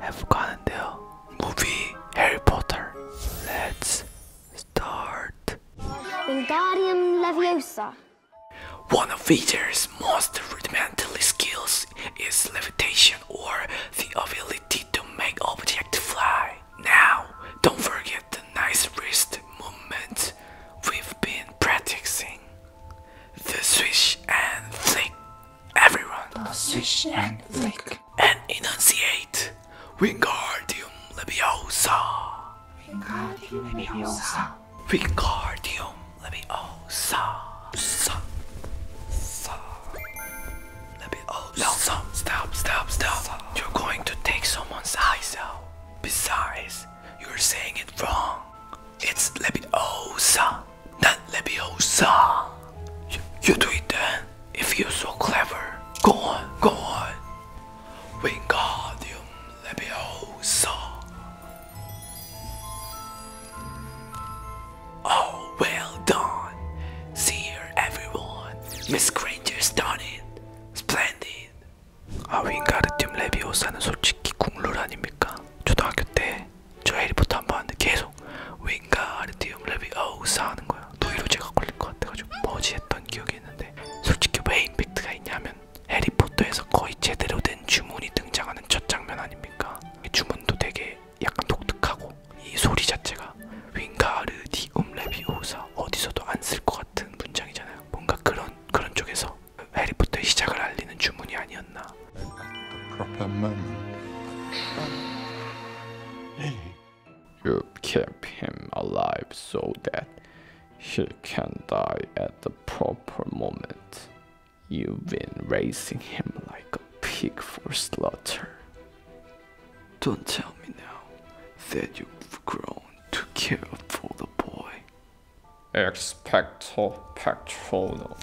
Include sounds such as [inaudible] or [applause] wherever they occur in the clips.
have gotten the movie Harry Potter. Let's start. Wingardium Leviosa. One of Witcher's most rudimentary skills is levitation or the ability to make objects fly. Now, don't forget the nice wrist movement we've been practicing. The swish and flick everyone, switch and flick, and enunciate Wingardium Leviosa. Wingardium Leviosa. Wingardium Leviosa. stop, stop, stop, stop. You're going to take someone's eyes out. Besides, you're saying it wrong. It's Leviosa not Leviosa. You, you do it then, if you're so clever. Go on, go on. Wingardium Leviosa. Oh, well done. See here, everyone. Miss Granger's done it. Splendid. 아 윙가르듐 레비오사는 솔직히 국룰 아닙니까? 초등학교 때 저해리부터 한번 봤는데 계속 윙가르디움 레비오스 하는 거야. 노이로제가 걸릴 것 같아가지고 뭐지 했던 기억이 있는데 솔직히 왜 임팩트가 있냐면 해리포터에서 거의 제대로 된 주문이 등장하는 첫 장면 아닙니까? 주문도 되게 약간 독특하고 이 소리 자체가 윙가르디움 레비오사 어디서도 안 쓸 것 같은 문장이잖아요. 뭔가 그런 그런 쪽에서 해리포터의 시작을 알리는 주문이 You keep him alive so that he can die at the proper moment. You've been raising him like a pig for slaughter. Don't tell me now that you've grown too care for the boy. Expecto Patronum.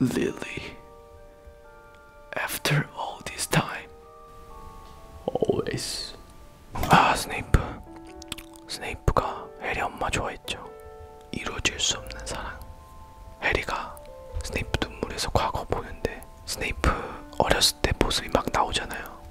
Lily, after all this time, always. 아 스네이프, 스네이프가 해리 엄마 좋아했죠. 이루어질 수 없는 사랑. 해리가 스네이프 눈물에서 과거 보는데 스네이프 어렸을 때 모습이 막 나오잖아요.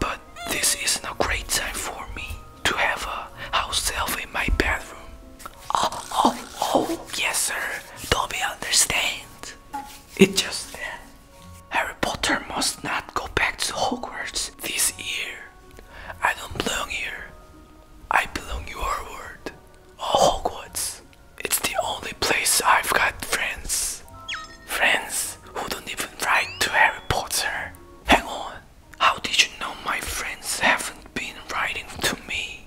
But this isn't a great time for me to have a house elf in my bedroom. Oh, oh, oh, yes, sir. Don't we understand? It just Harry Potter must not go back to Hogwarts this year. I don't belong here. I belong your world. Oh, Hogwarts. It's the only place I've got friends. Friends who don't even write to Harry Potter. Hang on, How did you know my friends haven't been writing to me?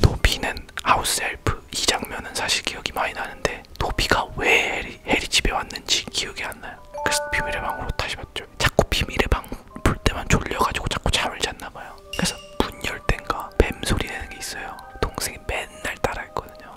도비는 하우스헬프 이 장면은 사실 기억이 많이 나는데 도비가 왜 해리, 해리 집에 왔는지 기억이 안 나요. 그래서 비밀의 방으로 다시 봤죠. 자꾸 비밀의 방 볼 때만 졸려가지고 자꾸 잠을 잤나 봐요. 그래서 문열 땐가 뱀 소리 내는 게 있어요. 동생이 맨날 따라했거든요.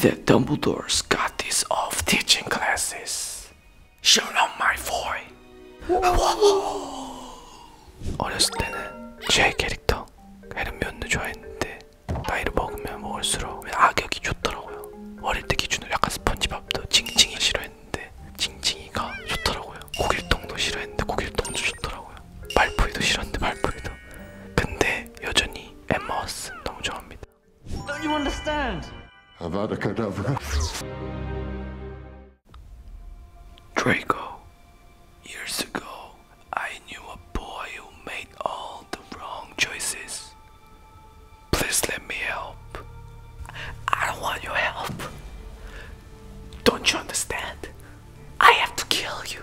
that Dumbledore's got these off teaching classes. Shut up, my boy. [laughs] 어렸을 때는 제 캐릭터 헤르미온을 좋아했는데 나이를 먹으면 먹을수록 악역이 좋더라고요. 어릴 때 기준으로 약간 스펀지밥도 징징이 싫어했는데 징징이가 좋더라고요. 고길동도 싫어했는데 고길동도 좋더라고요. 말포이도 싫었는데 말포이도. 근데 여전히 엠마워슨 너무 좋아합니다. Don't you understand? Avada Kedavra. Draco, years ago, I knew a boy who made all the wrong choices. Please let me help. I don't want your help. Don't you understand? I have to kill you.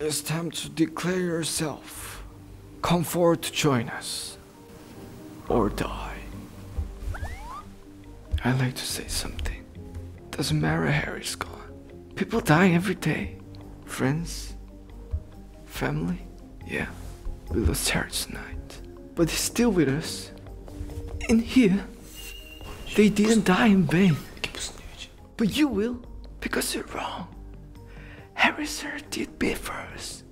It's time to declare yourself. Come forward to join us. Or die. I'd like to say something. Doesn't matter Harry's gone. People die every day. Friends. Family. Yeah. We lost Harry tonight. But he's still with us. In here. They didn't die in vain. But you will because you're wrong. Harrison did be first.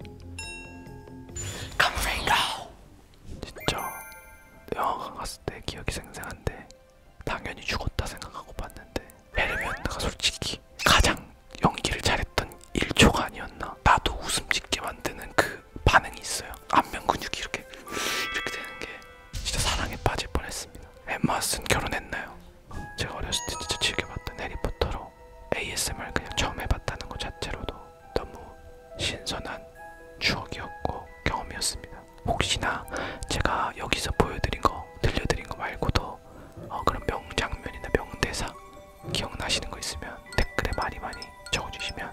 Come, Ringo. 진짜 영화관 갔을 때 기억이 생생한데 당연히 죽었다 생각하고 봤는데 헤르미온나가 솔직히 가장 연기를 잘했던 1초가 아니었나 나도 웃음 짓게 만드는 그 반응이 있어요 안면 근육이 이렇게 이렇게 되는 게 진짜 사랑에 빠질 뻔했습니다. 엠마슨 결혼했나요? 제가 어렸을 때 진짜 즐겨봤던 해리포터로 ASMR 그냥 처음 해봤다는 것 자체로도 너무 신선한 추억이었고 경험이었습니다. 혹시나 제가 여기서 보여드린 거 들려드린 거 말고도 어, 그런 명장면이나 명대사 기억나시는 거 있으면 댓글에 많이 많이 적어주시면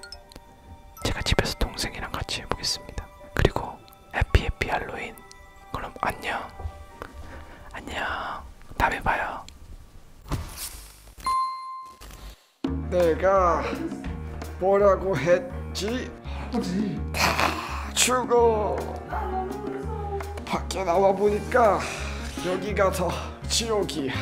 제가 집에서 동생이랑 같이 해보겠습니다. 그리고 해피 해피 할로윈. 그럼 안녕. 안녕. 다음에 봐요. 내가 뭐라고 했지? 할아버지 다 죽어 밖에 나와 보니까 여기가 더 지옥이야